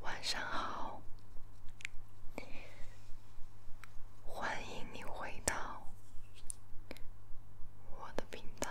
晚上好，欢迎你回到我的频道。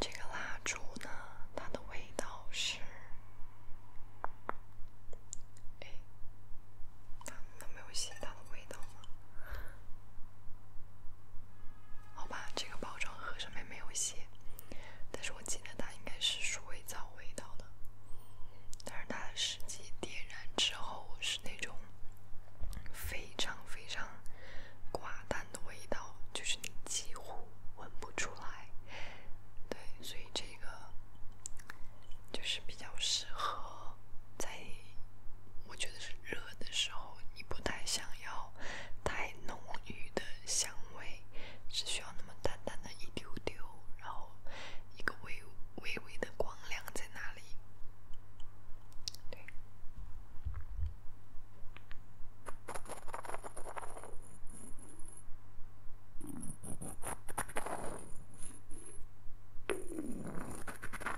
这个蜡烛呢，它的味道是……能没有的味道吗？好吧，这个包装盒上面没有写，但是我记得它应该是鼠尾草味道的，但是它实际点燃之后是那种非常非常寡淡的味道，就是你几乎闻不出来。对，所以这个就是比较适合。在我觉得是热的时候，你不太想要太浓郁的香味，只需要那么淡淡的一丢丢，然后一个微微微的光亮在那里。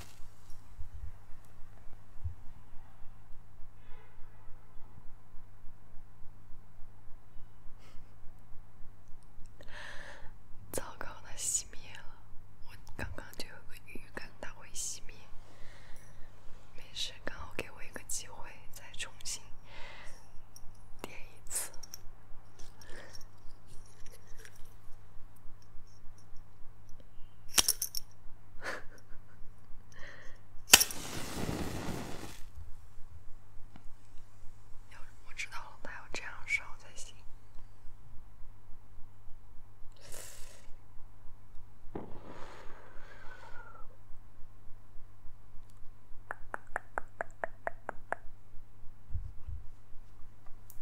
糟糕，它熄灭了。我刚刚就有个预感它会熄灭，没事，刚好给我一个机会再重新点一次。要我知道了，他要这样烧才行。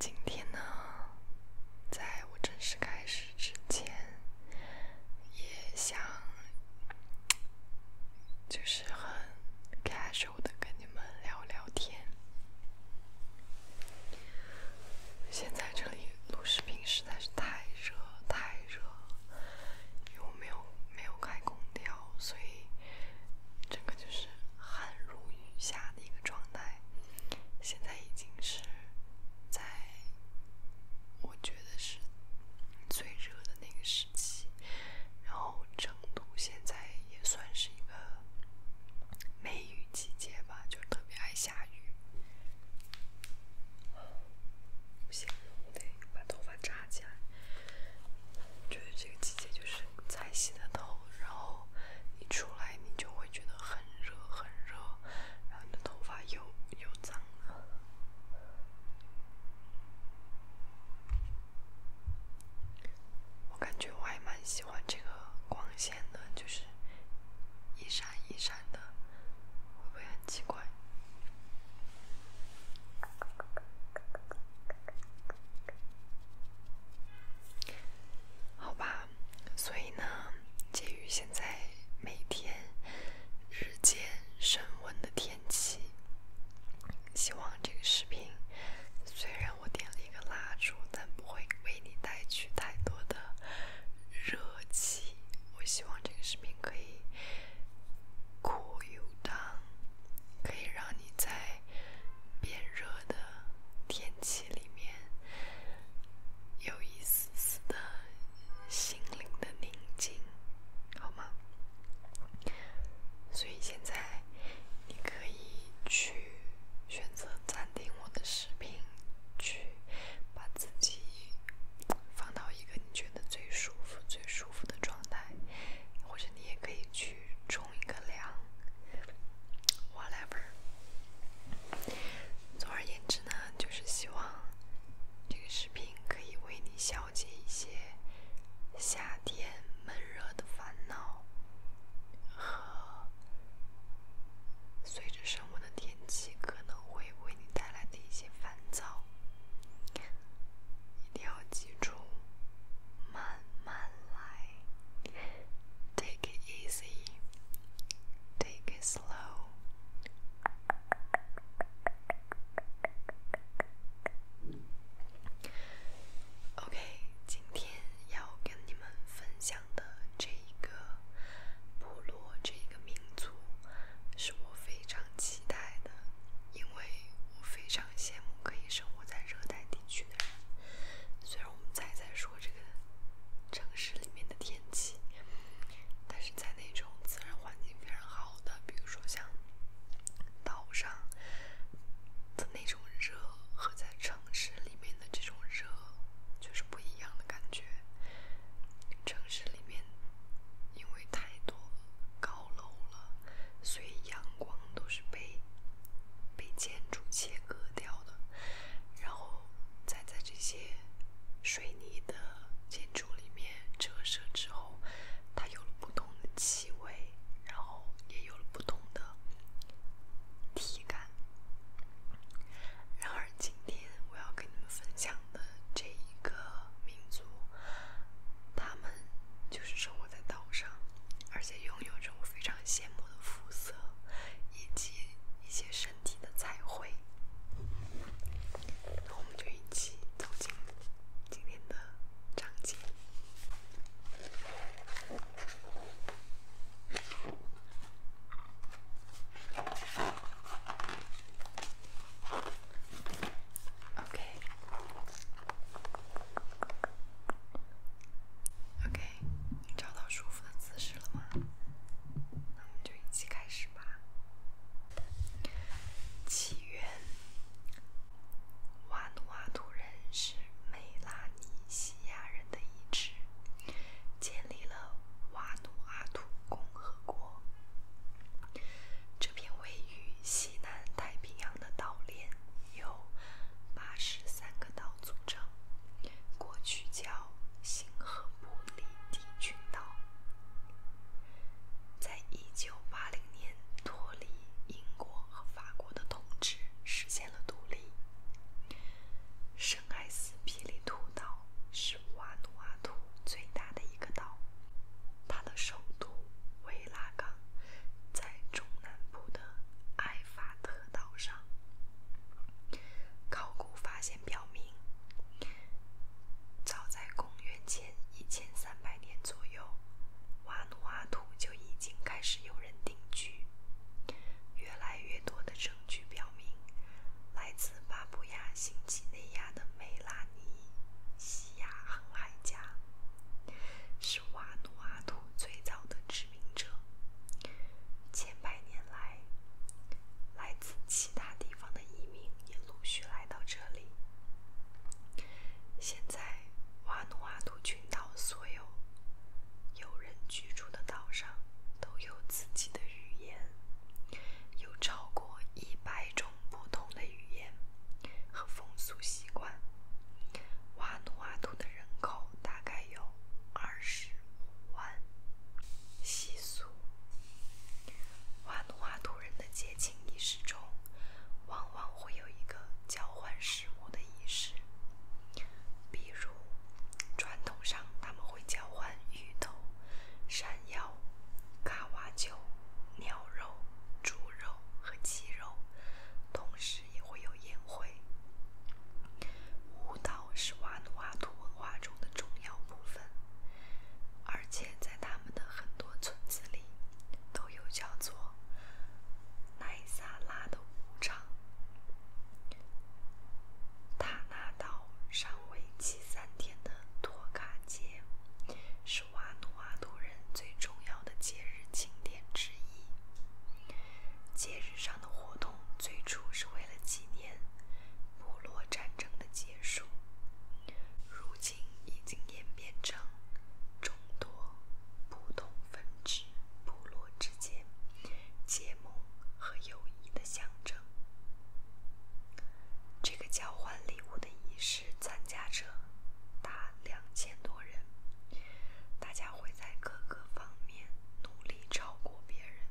今天呢，在我正式开始。之前也想，就是很开手的跟你们聊聊天。现在这里录视频实在是太热太热，因为我没有没有开空调，所以整个就是汗如雨下的一个状态。现在已经是在。我觉得是最热的那个时期，然后成都现在也算是一个梅雨季节吧，就特别爱下雨。不行，我得把头发扎起来。觉得这个季节就是才洗的头，然后一出来你就会觉得很。很热很热，然后你的头发又又脏了。我感觉我还蛮喜欢这个光线的，就是一闪一闪的，会不会很奇怪？好吧。所以呢，鉴于现在每天日渐升温的天气，希望这个视频虽然我点了一个蜡烛，但不会为你带去太多的热气。我希望这个视频可以 cool down，可以让你在变热的天气里面有意思。丝丝的心灵的宁静，好吗？所以现在你可以去选择暂停我的视频，去把自己放到一个你觉得最舒服、最舒服的状态，或者你也可以去冲一个凉，whatever。总而言之。那就是希望这个视频可以为你消解一些夏天闷热的烦恼，和随着升温的天气可能会为你带来的一些烦躁。一定要记住，慢慢来，Take it easy，Take it。Hello。Okay，今天要跟你们分享的这一个部落、这一个民族，是我非常期待的，因为我非常羡慕可以生活在热带地区的人。虽然我们才在说这个城市里面的天。天气，但是在那种自然环境非常好的，比如说像岛上，的那种热和在城市里面的这种热，就是不一样的感觉。城市里面因为太多高楼了，所以阳光都是被被建筑切割掉的，然后再在这些水。你的建筑里面折射之后，它有了不同的气味，然后也有了不同的体感。然而今天我要跟你们分享的这一个民族，他们就是生活在岛上，而且拥有着我非常羡慕的肤色，以及一些身体的彩绘，那我们就一起走进今天的章节。OK，OK，找到舒服的姿势了吗？那我们就一起开始。起源。瓦努阿图人是美拉尼西亚人的一支，建立了瓦努阿图共和国。这片位于西南太平洋的岛链由八十三个岛组成，过去叫星河。布里迪群岛在一九八零年脱离英国和法国的统治，实现了独立。圣艾斯皮里图岛是瓦努阿图最大的一个岛，它的首都维拉港在中南部的埃法特岛上。考古发现。表明，早在公元前一千三百年左右，瓦努阿图就已经开始有人定居。越来越多的证据表明，来自巴布亚新几内亚的美拉尼西亚航海家是瓦努阿图最早的殖民者。千百年来，来自其他地方的移民也陆续来到这里。现在，瓦努阿图群岛所有有人居住的岛上都有自己的语言，有超过一百种不同的语言和风俗习惯。瓦努阿图的人口大概有二十五万。习俗。万花图人的节庆仪式中，往往会有一个交换食物的仪式。比如，传统上他们会交换芋头、山药、卡瓦酒、鸟肉、猪肉和鸡肉，同时也会有宴会、舞蹈。是瓦努阿图文化中的重要部分，而且在他们的很多村子里，都有叫做奈萨拉的舞场。塔纳岛上为期三天的托卡节，是瓦努阿图人最重要的节日庆典之一。节日上的活动最初是为了纪念。年，部落战争的结束，如今已经演变成众多不同分支部落之间结盟和友谊的象征。这个交换礼物的仪式参加者达两千多人，大家会在各个方面努力超过别人。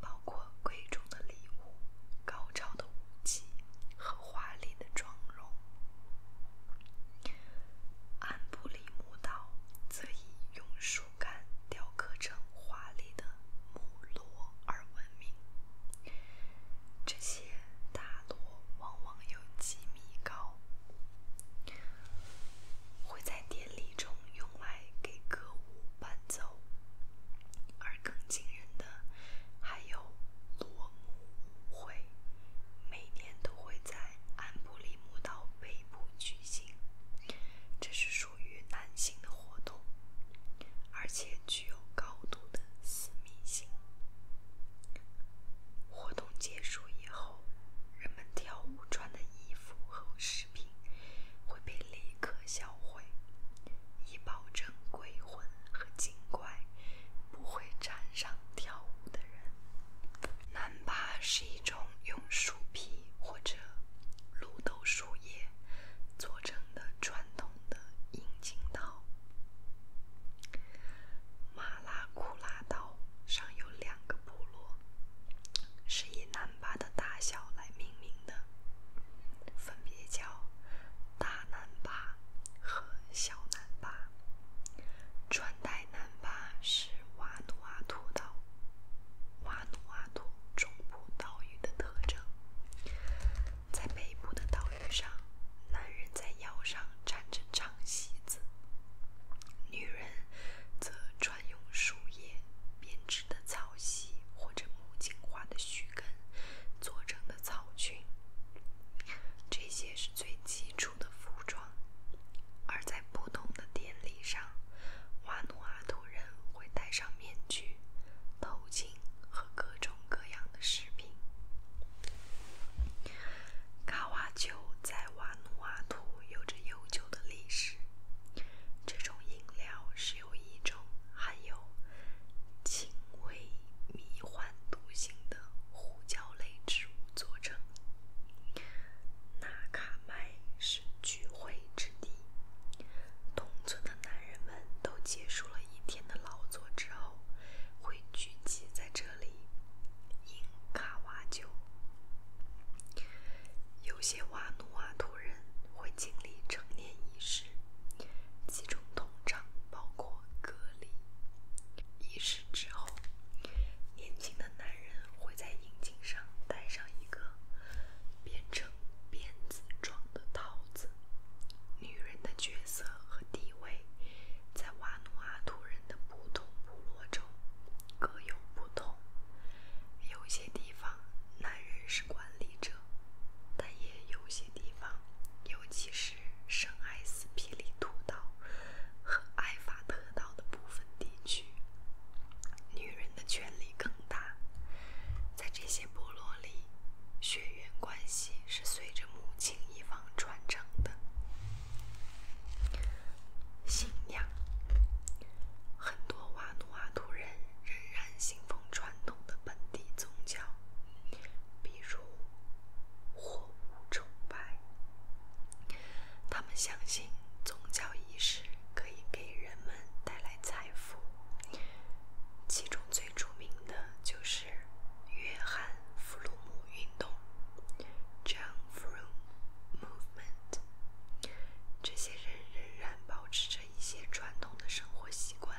包括贵重的礼物、高超的武器和华丽的妆容。安布里姆岛则以用树干雕刻成华丽的木罗而闻名。这些大罗往往有几米高，会在典礼中用。来给歌舞伴奏，而更惊人的还有裸舞舞会，每年都会在安布利姆岛北部举行。这是属于男性的活动，而且具有高度的私密性。活动结束以后，人们跳舞穿的衣服和饰。会被立刻销毁，以保证鬼魂和精怪不会沾上跳舞的人。南巴是一种用树皮或者绿豆树叶做成的传统的阴茎刀。马拉库拉刀上有两个部落，是以南。把的大小来命名的，分别叫大南巴和小南巴。穿戴南巴是瓦努阿图岛、瓦努阿图中部岛屿的特征。在北部的岛屿上，男人在腰上缠着长席子，女人则穿用树叶编织。的草席或者木槿花的须根做成的草裙，这些是最基础的服装。而在不同的典礼上，瓦努阿图人会戴上面具、头巾和各种各样的饰品。卡瓦丘在瓦努阿图有着悠久的历史，这种。饮料是由一种含有轻微迷幻毒性的胡椒类植物组成。纳卡麦是聚会之地，同村的男人们都结束了一天的劳作之后，会聚集在这里饮卡瓦酒。有些些瓦努阿图人会经历成年仪式，其中通常包括隔离。仪式之后，年轻的男人会在阴茎上戴上一个变成辫子状的套子。女人的角色和地位在瓦努阿图人的不同部落中各有不同，有些。些地方，男人是管理者，但也有些地方，尤其是圣埃斯皮里图岛和埃法特岛的部分地区，女人的权利更大。在这些部落里，血缘关系是随着母亲一方传承的。信仰，很多瓦努阿图人。仍然信奉传统的本地宗教，比如，货物崇拜。他们相信宗教仪式可以给人们带来财富。其中最著名的就是约翰弗鲁姆运动 （John f r o m Movement）。这些人仍然保持着。一些传统的生活习惯，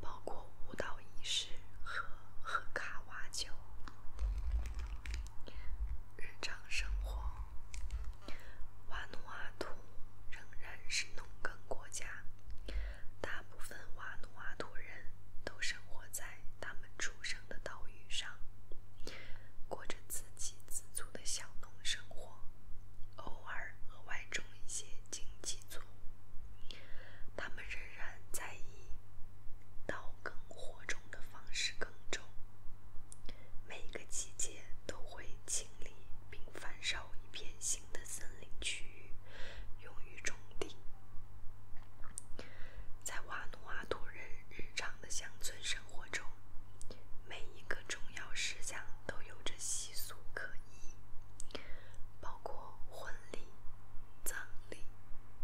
包括舞蹈仪式和喝卡瓦酒。日常生活，瓦努阿图仍然是农耕国家，大部分瓦努阿图人都生活在他们出生的岛屿上，过着自给自足的小农生活。偶尔额外种一些经济作物，他们仍然在以刀耕火种的方式耕种。每个季节都会清理并焚烧一片新的森林区域，用于种地。在瓦努阿图人日常的乡村生活。生活中，每一个重要事项都有着习俗可依，包括婚礼、葬礼、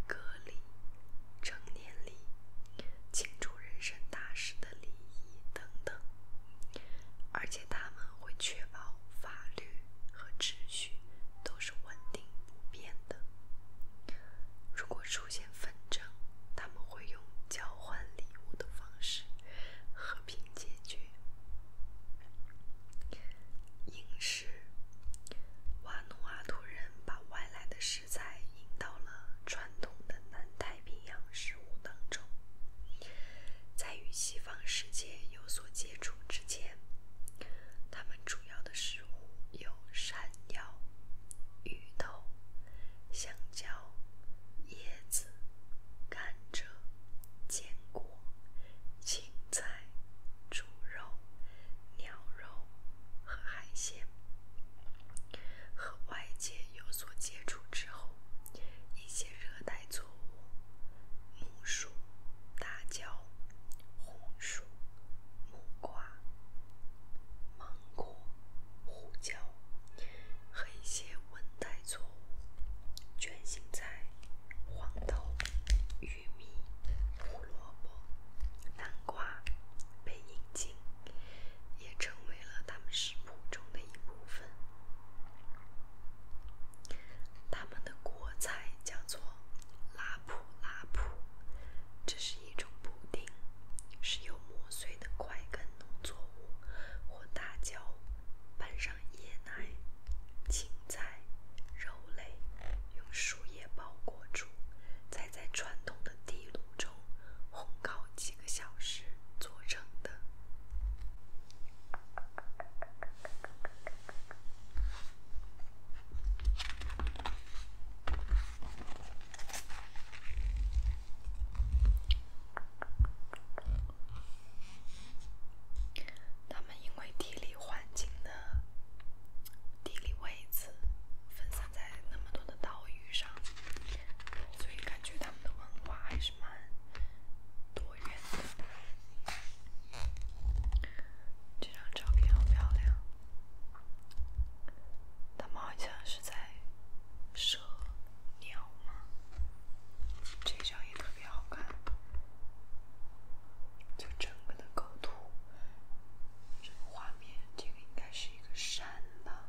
隔离、成年礼、庆祝人生大事的礼仪等等。而且他们会确保法律和秩序都是稳定不变的。如果出现纷争，他们会用交换礼物的方式和平解决。饮食。瓦努阿图人把外来的食材引到了传统的南太平洋食物当中。在与西方世界有所接触之前，他们主要的食物有山药、芋头、香蕉。椰子、甘蔗、坚果、青菜、猪肉、鸟肉和海鲜，和外界有所接触之后，一些热带作物，木薯、大蕉、红薯、木瓜、芒果。胡椒、和一些温带作物、卷心菜、黄豆、玉米、胡萝卜、南瓜被引进，也成为了他们食谱中的一部分。他们的国菜叫做拉普拉普，这是一种布丁，是有磨碎的块根。农作物或辣椒，拌上椰奶、青菜、肉类，用树叶包裹住，再在传统的地炉中烘烤几个小时做成的。他们因为地理环境的地理位置分散在那么多的岛屿上，所以感觉他们的文化还是蛮多元的。这张照片好漂亮，是在。蛇、鸟吗？这张也特别好看，就整个的构图，这个画面，这个应该是一个山吧？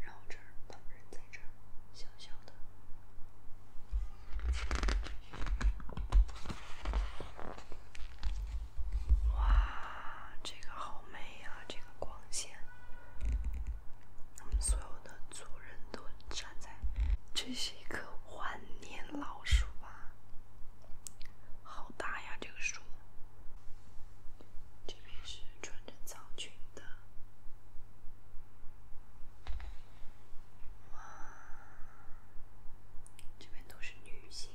然后这儿，老人在这小小的。哇，这个好美呀，这个光线。我们所有的族人都站在，这是一棵万年老树吧？好大呀，这个树。这边是穿着长裙的，哇，这边都是女性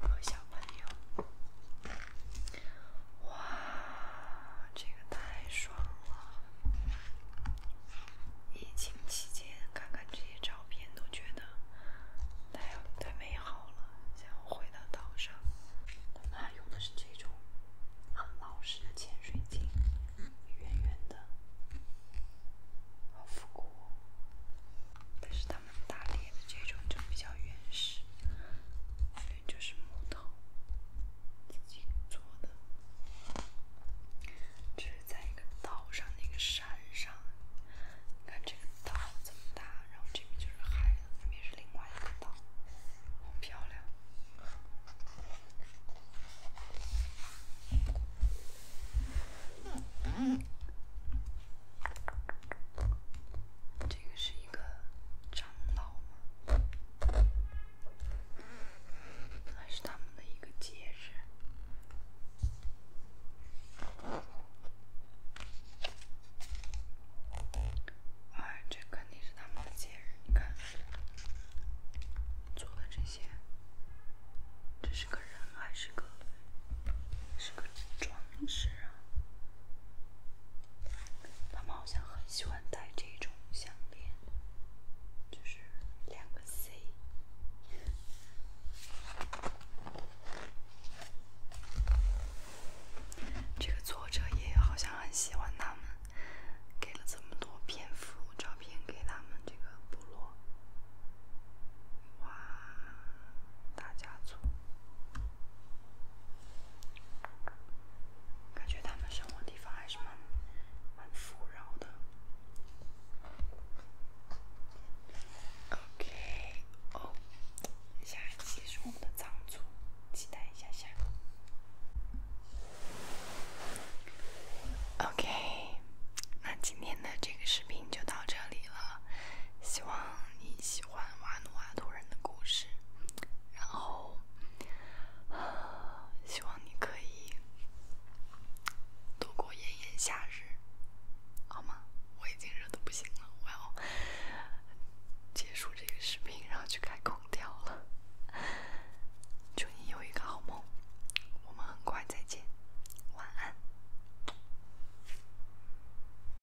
和小朋友。哇，这个太爽了！疫情期间看看这些照片都觉得太有太美好了。想要回到岛上，他用的是这种很老式的潜水镜，圆圆的，好复古。但是他。打猎的这种就比较原始，反正就是木头自己做的。这是在一个岛上那个山上，你看这个岛这么大，然后这边就是海了，那边是另外一个岛，很漂亮。这个是一个长老吗？那是他们的一个节日。哎，这肯定是他们的节日。你看，做的这些，这是个人还是个是个装置？他们好像很喜欢戴这种项链，就是两个 C。这个作者也好像很喜欢他们，给了这么多篇幅照片给他们这个部落。哇，大家族。感觉他们生活地方还是蛮蛮富饶的。o k o 下一期是我们的藏族，期待一下下。OK，那今天的这个视频就到这里了，希望你喜。《环瓦努阿图人的故事》，然后希望你可以度过炎炎夏日，好吗？我已经热的不行了，我要结束这个视频，然后去开空调了。祝你有一个好梦，我们很快再见，晚安。